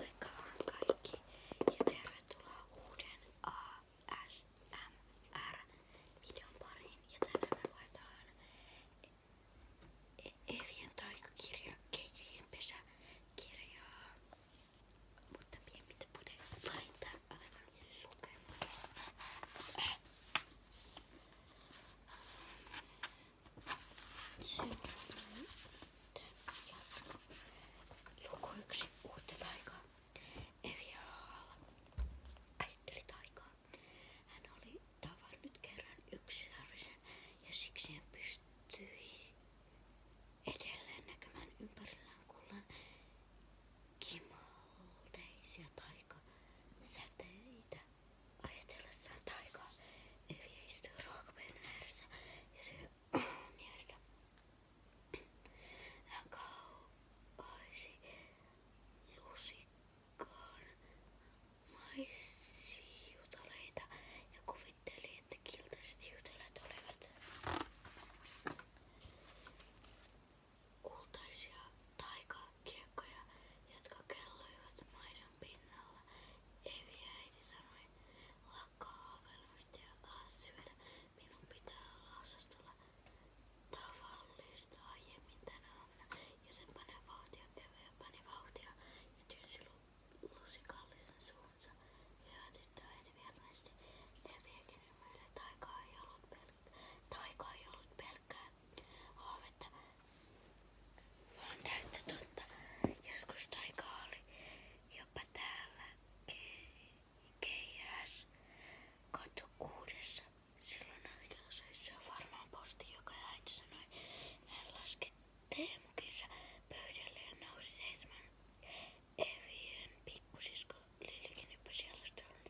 Moikka vaan kaikki ja tervetuloa uuden ASMR-videon pariin. Ja tänään me luetaan Evien taikakirja Ketjujen pesäkirjaa. Mutta pientä pudeita laittaa. Aletaan lukemaan. Äh. Se on nyt. Luku yksi uutta taikaa. Evia ajatteli taikaa. Hän oli tavannut kerran yksisarvisen ja siksi hän pystyi edelleen näkemään ympärillään kullan kimalteisia taikasäteitä. Ajatellessaan taikaa Evia istui ruokapöydän ääressä ja syö miestä. Hän kaupaisi lusikkaan maissiutaleita ja kuvitteli, että kiltaiset jutaleet olivat kultaisia taikakiekkoja, jotka kelloivat maidon pinnalla. Evi äiti sanoi, takaa velosti ja taas syödä. Minun pitää olla osastolla tavallista aiemmin tänä aamuna. Ja sen panee vauhtia, ja pani vauhtia ja työnsi lusikallisen suunsa. Hyvä tyttö äiti virnaisesti. Leviäkin ymmärrä, taikaa ei ollut, pelk- taika ei ollut pelkkää haavetta, vaan täyttä totta. Joskus taikaa oli jo täällä KS 26. Silloin oikeassa se on varmaan posti, joka äiti sanoi. Hän laski teemukinsa pöydälle ja nousi seitsemän. Evien pikkusisko Lilikin yppäsi alastelun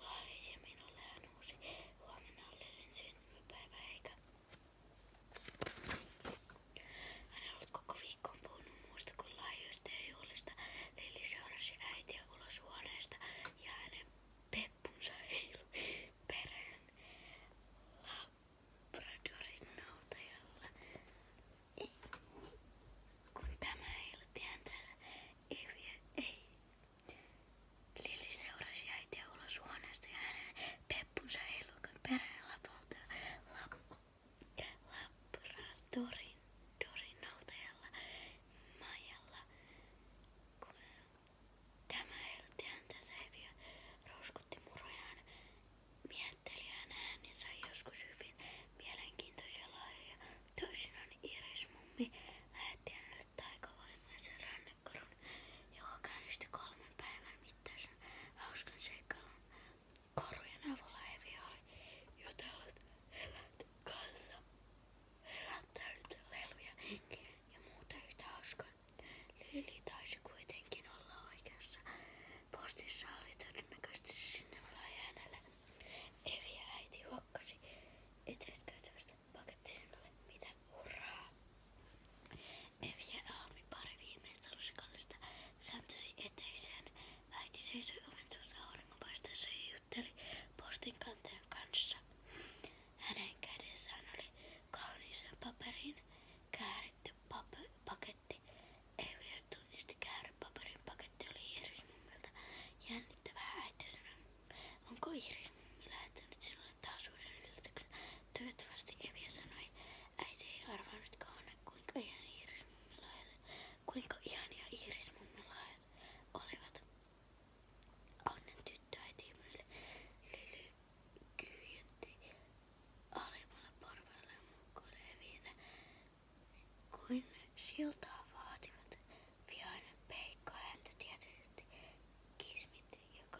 lahja ja minulle hän uusi huomenna Lilin syntymäpäivä eikä hän ollut koko viikkoon puhunut muusta kuin laajoista ja juhlista. Lili seurasi äitiä ulos huoneesta ja hänen peppunsa heilui perään Labradorin nautajalla. Kun tämä heilutti häntä, ei vie, ei. Lili seurasi äitiä ulos huoneesta ja hänen peppunsa puja elukan perään lapulta lap, laboratorin dorin noutajalla majalla. Kun tämä heilutti häntä säiviä, rouskutti murojaan miettelijän ääni sai joskus hyvin mielenkiintoisia lahjoja. Toisinaan Iris mummi lähetti hänelle taikavoimaisen rannekorun, joka käynnisti kolmen päivän mittaisen hauskan seikkailun. Karhujen avulla Evi oli jutellut eläinten kanssa, herättänyt leluja henkiä ja muuta yhtä hauskaa. Lili taisi kuitenkin olla oikeassa. Postissa oli todennäköisesti syntymällä hänelle. Evi ja äiti huokkasi eteet käytävästä paketti sinulle. Mitä? Hurraa! Neviä aamin pari viimeistä lusikallista sääntösi eteiseen. Äiti seisoi oven suussa auringonpaisteessa ja jutteli postin kantajan kanssa. Hänen kädessään oli kauniisen paperin kääritty pap- paketti. Eviä tunnisti käärepaperin paketti oli Iris mummilta. Jännittävää äiti sanoi, onko Iris mummi lähettänyt sinulle taas uuden yllätyksen? Toivottavasti Eviä sanoi. Äiti ei arvannutkaan, kuinka ihania iirismummilaiset, kuinka ihania iirismummilaiset olivat. Onnen tyttöäiti myille Lily kyyjätti alimmalla porvailla mukkoille viitä, kuin siltaa vaativat. Vihainen peikko häntä tietysti kismitti, joka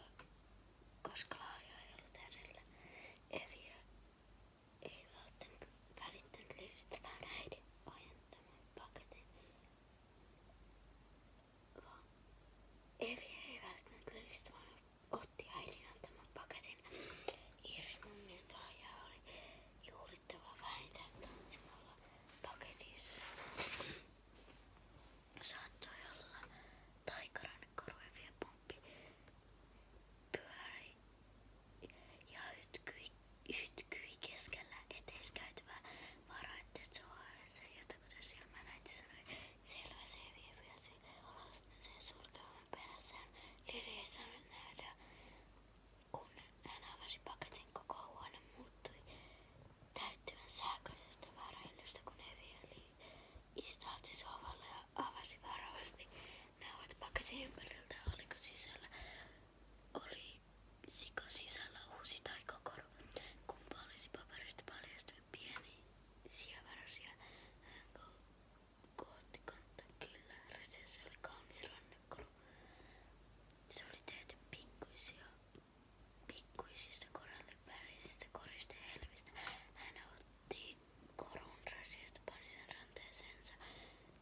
koska laaja ei ollut hänellä. Eviä ei välttämättä välittynyt löydettävään äidin ajentamaan paketin, vaan Evi ei välttämättä löydettävään otti äidin antaman paketin. Iris mummien lahja oli juhlittava vähintään tanssimalla paketissa. Saattoi olla taikarannekorvevia pomppi pyöri ja ytkyi, ytkyi keskellä eteiskäytävää varoitti, että se se jotakuta silmään äiti sanoi, selvä se viivi ja se sen sulkevan perässään. Lili ei saanut nähdä, kun hän avasi paketin koko huone muuttui täyttyvän sähköisestä väräilystä, kun Evi oli Istahti sohvalle siis ja avasi varovasti nauhat pakasin ympäriltä. Oliko sisällä, olisiko sisällä uusi tai kokoru? Kumpa olisi paperista paljastunut pieni sievarasia? Hän kohti kantaa kyllä. Resessa oli kaunis rannakkolu. Se oli tehty pikkuisia pikkuisista korallin värisistä koristehelmistä. Hän otti korun rasista pani sen ranteeseensa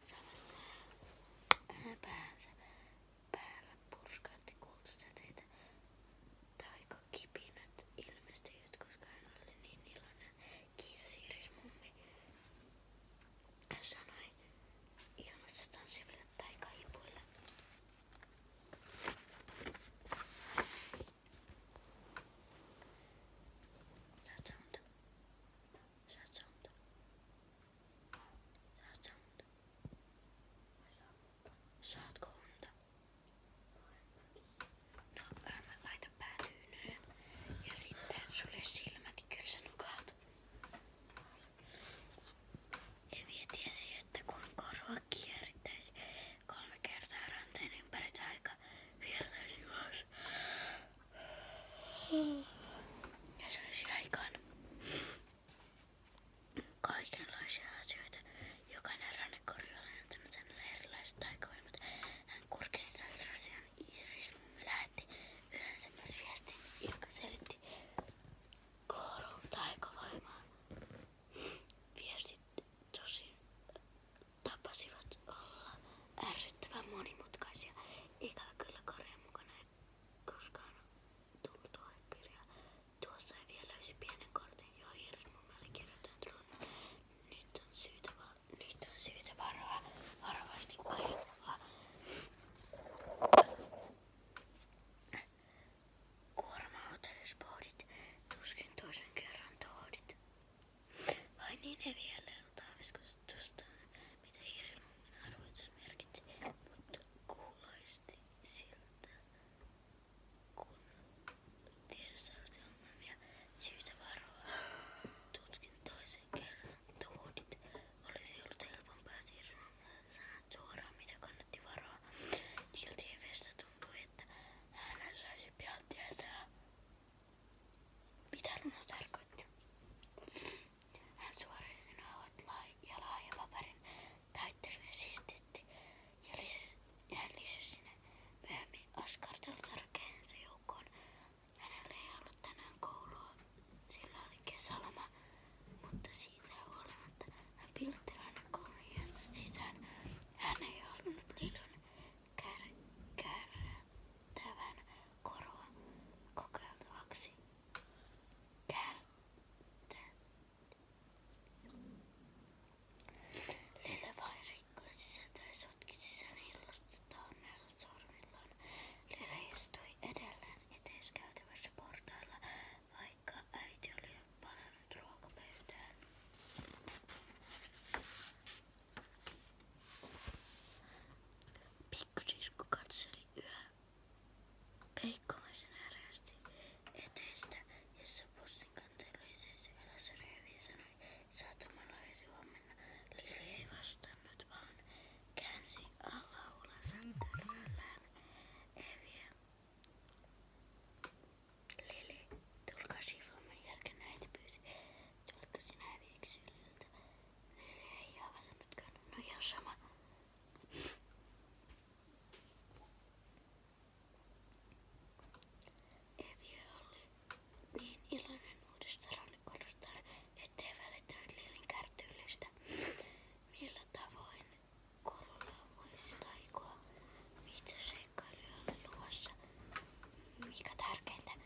samassa äh, päänsä. Päällä purskautti kultasäteitä taikakipinät ilmestyivät, koska hän oli niin iloinen. Kiitos Iris mummi. Hän sanoi ilmassa tanssiville taikaipuille. Zacząd. Zacząd. Zacząd. Saatko unta? No, älä mä laita päätyynyyn. Ja sitten sulje silmät, kyllä sä nukaat. Evie tiesi, että kun korva kierittäisi kolme kertaa ranteen ympäri aika viertäisi ulos. Ja saisi aikaan kaikenlaisia asioita. Jokainen rannekorja oli antanut hänelle erilaiset taikavoimat. Hän kurkisi sasrasian irismumme lähetti yleensä myös viestin, joka selitti koulun taikavoimaa. Viestit tosin tapasivat olla ärsyttävän monimutkaisia. Ikävä kyllä Karjan mukana koskaan tullut ohjekirjaa. Tuossa ei vielä löysi pienen kortin, johon Hirmumäelle kirjoittanut runon. Nyt on syytä, va- nyt on syytä varoa varovasti ainoa. Kuorma-autossa pohdit, tuskin toisen kerran tohdit. Vain niin heviälle on taaviskustustanne, mitä Iirismummin arvoitus merkitsi, mutta kuuloisti siltä, kun tiedossa olisi ongelmia syytä varoa. Tutkin toisen kerran, että huudit olisi ollut helpompaa Iirismummin sanoa suoraan, mitä kannatti varoa. Silti Evestä tuntui, että hän saisi pian tietää. Mitä Luna tarkoitti? Hän suoritti nauhat ja laajapaperin täyttäminen siistitti ja, lisä, ja hän lisäsi ne myöhemmin askartelutarkeensa joukkoon. Hänellä ei ollut tänään koulua, sillä oli kesäloma, mutta siitä huolimatta hän piltti koulun sisään. Hän ei halunnut Lilun kärkärtävän korva kokeiltavaksi. Lillä vain rikkoi sisältä ja sotki sisään hillostaan sormillaan. Lillä istui edelleen eteiskäytävässä portailla, vaikka äiti oli jo palannut ruokapöytään. Pikkusisku katseli yhä peikkomaisen ärästi eteistä, jossa pussin kanteluisessa ylässä röövi sanoi satamalaisi huomenna. Lili ei vastannut, vaan käänsi alaulansa törmällään Eviä. Lili, tulkaa sivuun, jälkeen äiti pyysi. Tuletko sinä viikseliltä? Ei ole väsynytkään. No ihan sama. Evi oli niin iloinen uudesta rannikodustaan, ettei välittänyt Lilin kärtyylistä. Millä tavoin korulla voisi taikoa? Mitä seikkailuja oli luvassa? Mikä tärkeintä?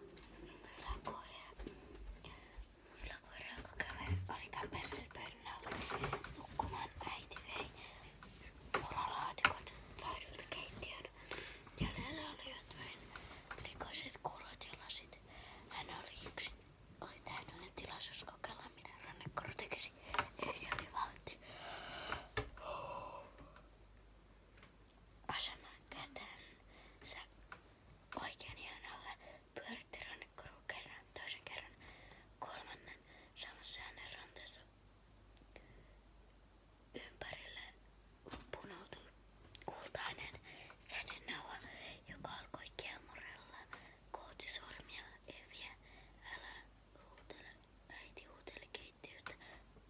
Myläkoira. Myläkoira, joka kävi, oli käpäisellä pöydän nukkumaan. Äiti vei moralaatikot laidulta vain likoiset kurot ja lasit. Hän oli täydellinen tilaisuus kokeilla, mitä rannekoru tekisi. Ei oli vauhti. Aseman kätensä oikean hieno alle pyöritti rannekoru kerran, toisen kerran, kolmannen samassa hänen rantansa ympärille punoutui kultainen sädennaua, joka alkoi kiemurella kohti eviä. Älä huutele, äiti huuteli keittiöstä.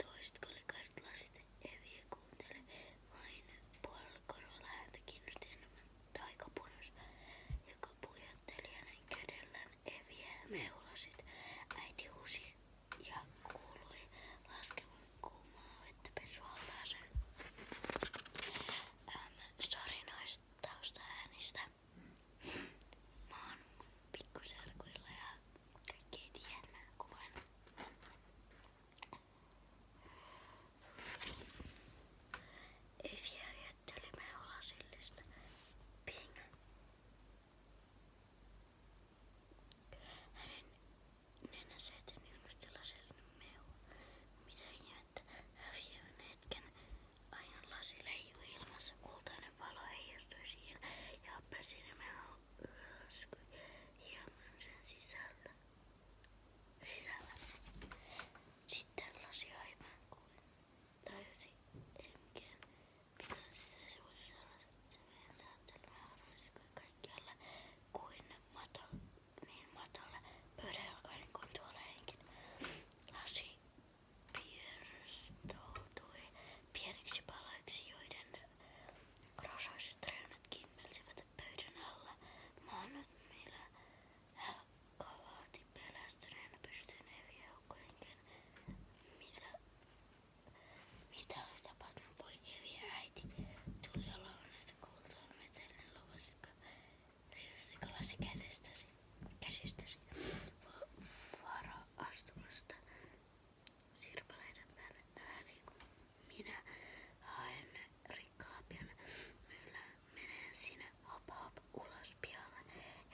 Toiset kolikaiset lasit eviä kuunteli. Vain puolella korvalla häntä kiinnosti enemmän taikapunus, joka pujotteli hänen kädellään eviä meulasit. Äiti huusi ja kuului laskevan kuumaa vettä pesualtaaseen. Ähm, sori noista taustaäänistä mä oon pikkuserkuilla ja kaikki ei tiedä, mä kuvan. Eviä jätteli me olasillista ping. Hänen nenänsä eteen junnustella sellainen meu. Mitä ihmettä, häviävän hetken Aion lasi leijuu ilmassa, kultainen valo heijastui siihen ja appelsiinimme hölskyi hieman sen sisältä. sisällä. Sitten lasi aivan kuin tajusi, ei mikään pitäisi se sivuissa olla. Se meidän saattelemme hölskyi kaikkialla kuin mato, niin matolla pöydän jalkainen kuin tuolla henkin. Lasi pirstoutui pieniksi palaiksi, joiden rosaiset reunat kimmelsivät pöydän alla. Maanut, millä hän kavaati pelästyneenä pystyyn eri joukkojenkin. Mitä, mitä oli tapahtunut? Voi evi äiti. Tuli olla onnesta kuultua, miten ne lupasitko riisikalasi käsistäsi, käsistäsi vaara-astumasta sirpaleiden päälle minä haen rikkaapian myylä, menen sinä hop hop ulos pihalle,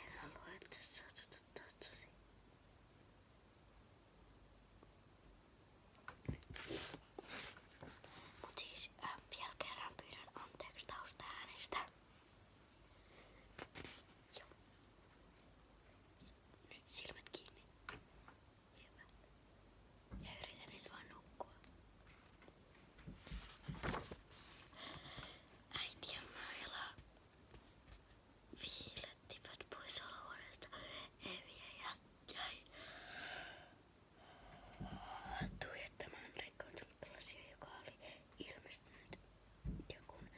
en halua, että satuta tatsusi. Mut siis äh, vielä Joo. Nyt silmät kiinni. Hyvä. Ja yritän nyt vaan nukkua. Äiti ja Maila viilettivät pois olohuoneesta. Eviä jäi tuijottamaan rikkoontunut lasia, joka oli ilmeisesti pystynyt. Ja kun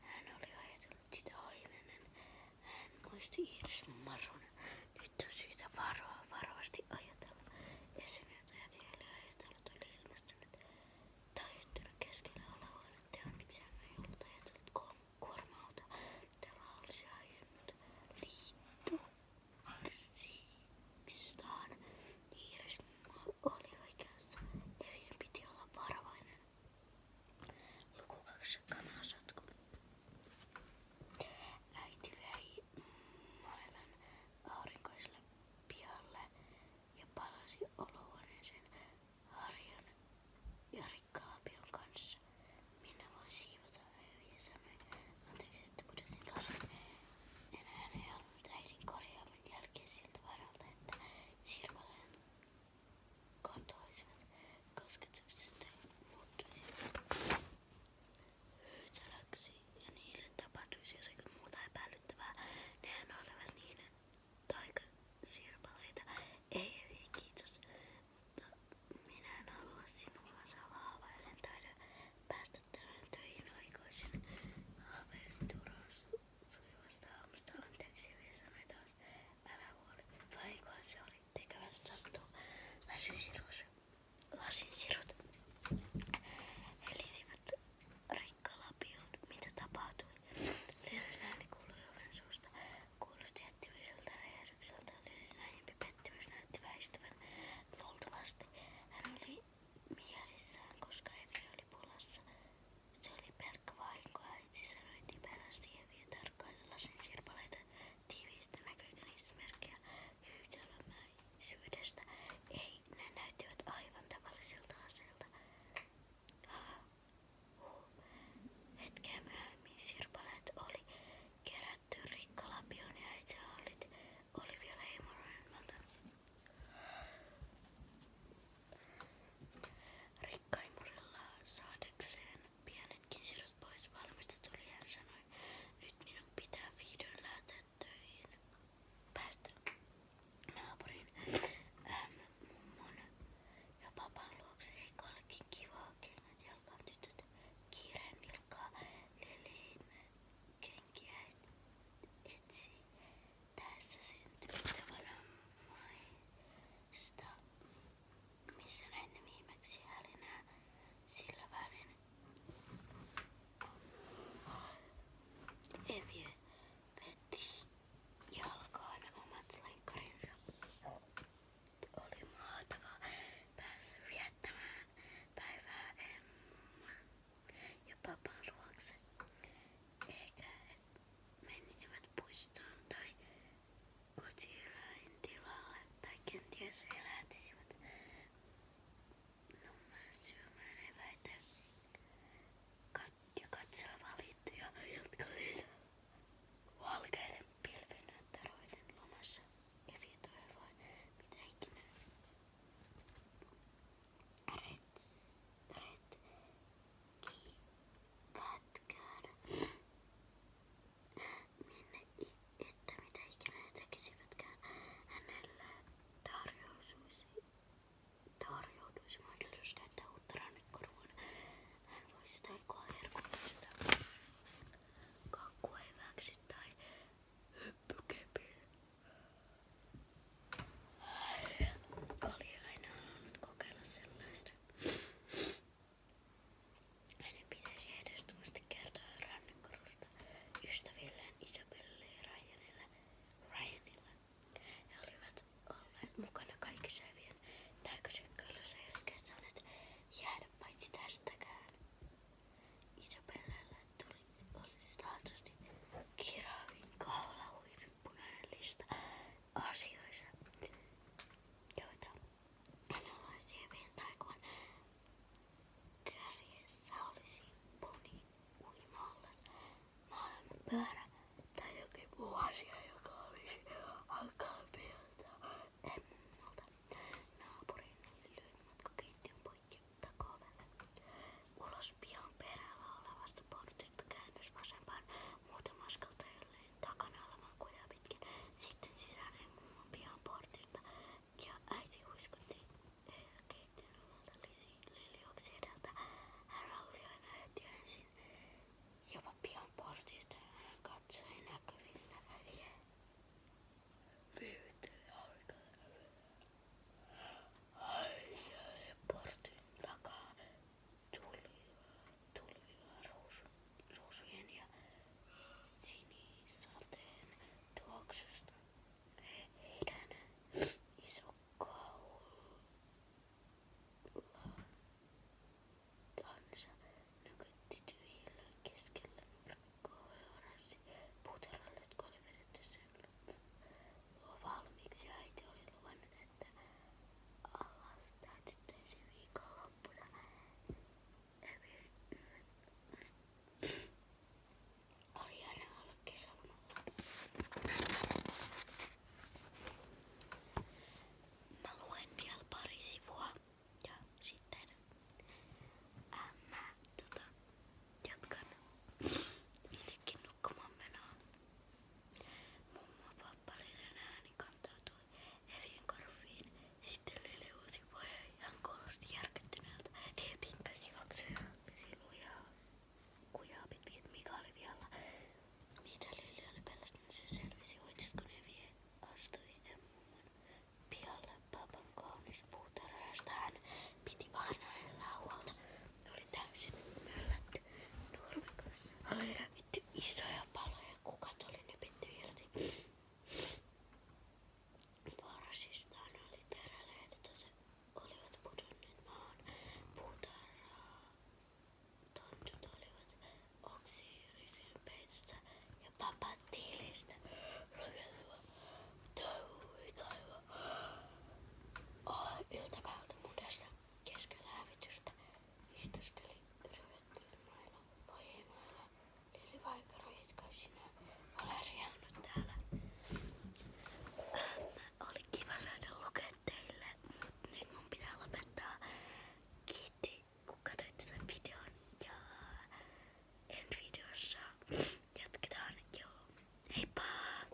hän oli ajatellut sitä aiemmin, hän muisti Iiris Marun. Nyt on syytä varoa, varovasti ajatella. Esineet ajatellen ajatellut oli ilmestynyt taittunut keskellä alahuonetta ja onneksi hän ei ollut ajatellut kuorma-auta. Täällä olisi ajanut liitto. Sikstaan niin jos mä olin oikeassa, Evin niin piti olla varovainen. Luku 2. Kanasotku. Äiti vei mailan aurinkoiselle pihalle ja palasi olohuoneeseen harjan ja rikkaapion kanssa. Minä voin siivota Eviä sanoi. Anteeksi, että pudotin lasit. En hän ei mutta äidin korjaaman jälkeen siltä varalta, että silmälain kotoisivat kosketuksesta muuttuisivat hyytäläksi ja niille tapahtuisi jossakin muuta epäilyttävää. Nehän olivat niiden taikasirpaleita. Ei, ei kiitos, mutta minä en halua sinua salaa, vaan en taida päästä tänään töihin aikoisin. Haaveilin turhan sujuvasta aamusta. Anteeksi, vielä sanoi taas. Älä huoli. Vainkohan se oli tekevän sattuu. Lasinsirut, lasinsirut helisivät rikkalapioon. Mitä tapahtui? Lyhyen ääni kuului oven suusta. Kuulosti jättimäiseltä räjähdykseltä. Lyhyen ääni pettymys näytti väistyvän. Luultavasti hän oli mielissään, koska Evi oli pulassa. Se oli pelkkä vahinko, äiti sanoi tiperästi Evi tarkkaili lasin sirpaleita tiiviistä näkökynismerkkejä hyytelömäisyydestä. Ei, ne näyttivät aivan tavallisilta aseilta. Huh. Hetken myöhemmin sirpaleet oli kerätty rikkalapion ja itse olit oli vielä himoryhmältä. Rikkaimurilla saadekseen pienetkin sirot pois valmistetuli, hän sanoi, nyt minun pitää vihdoin lähteä töihin. Päästä naapurin ähm, mummon ja papan luokse, eikö olekin kivaa kengät jalkaan tytöt kiireen vilkkaa leleimme kenkiä etsi tässä syntymästä varmaista, missä näin viimeksi hälinää sillä välin. Evie veti jalkaan omat lenkkarinsa. Oli mahtavaa päästä viettämään päivää Emman ja papan luokse. Eikä menisivät puistoon tai kotieläintilalle tai kenties elätisivät nummea syömään eväitä ja katsella valittuja, jotka liittyvät valkeiden pilvenäyttäroiden lomassa. Evi toivoi, mitä ikinä. Rets retkipätkään. Minne, että mitä ikinä he tekisivätkään, hänelle tarjousuisi, tarjoutuisi mahdollisuus käyttää uutta rannekorvaa. Hän voisi taikoa herkullista kakkueväksi tai hyppykepillä. Oli aina halunnut kokeilla sellaista. Hänen pitäisi ehdottomasti kertoa rannikkorusta ystävilleen Isabelle ja Ryanille. Ryanille. He olivat olleet mukana kaikissa hyvien täyköseikkailussa, jotka saaneet jäädä paitsi tästäkään. Isabellella tuli, oli taatusti kiravin kaulahuivin punainen lista asioissa, joita analyysien taikuan kärjessä olisi puni, uimaallas, maailman pyörä tai jokin muu asia, joka olisi hankala piirtää emmulta. Naapurin oli lyönyt matkakeittiön poikki Takovelle. Ulos pian perällä olevasta portista käännös vasempaan muutama askel jolleen takana olevan kujaa pitkin. Sitten sisään mummon pian portista ja äiti huiskutti keittiön omalta liljoksi edeltä. Hän rausioi näytti ensin jopa pian portista ja hän katsoi näkyvistä vie. Vyyhtyy aurinkoja portin takaa tuli, tuli ruusu, ruusujen ja sinisateen tuoksusta. Heidän iso kaulantansa nykytti tyhjillä keskellä nurkkaa ja oranssi puutarhalle, jotka oli vedetty sen loppuun jo valmiiksi ja äiti oli luvannut, että alastaa tyttöisen viikonloppuna. Oli ihana olla kesälomalla. Mä luen vielä pari sivua ja sitten ää, mä tota, jatkan itsekin nukkumaan menoa. Mummo pappalinen ääni kantautui Evien korviin. Sitten Lili uusi pojan ja kuulosti järkyttyneeltä. Evie pinkkäsi juoksi lujaa kujaa pitkin. Mika oli vialla. Mitä Lili oli pelästynyt, se selvisi. Hoititko Evie astui mummon pihalle papan kaunis puutarhasta. Hän piti aina elää huolta. Ne oli täysin möllätty nurmikossa. Oli revitty isoja paloja, kukat oli nypitty irti. Varsistaan oli terälehdet, olivat pudonneet maahan. Puutarhaa tontut olivat oksiirisen peitosta ja papat tiilistä rakentuva touhikaiva. Oh, iltapäivä mudasta keskellä hävitystä istuskeli rövettymailla lohimailla. Lili Vaikaro jatkoi sinä. Olen riehannut täällä. Äh, oli kiva saada lukea teille, mutta nyt mun pitää lopettaa. Kiitti kun katsoitte tämän videon ja ensi videossa jatketaan. Joo, heippa!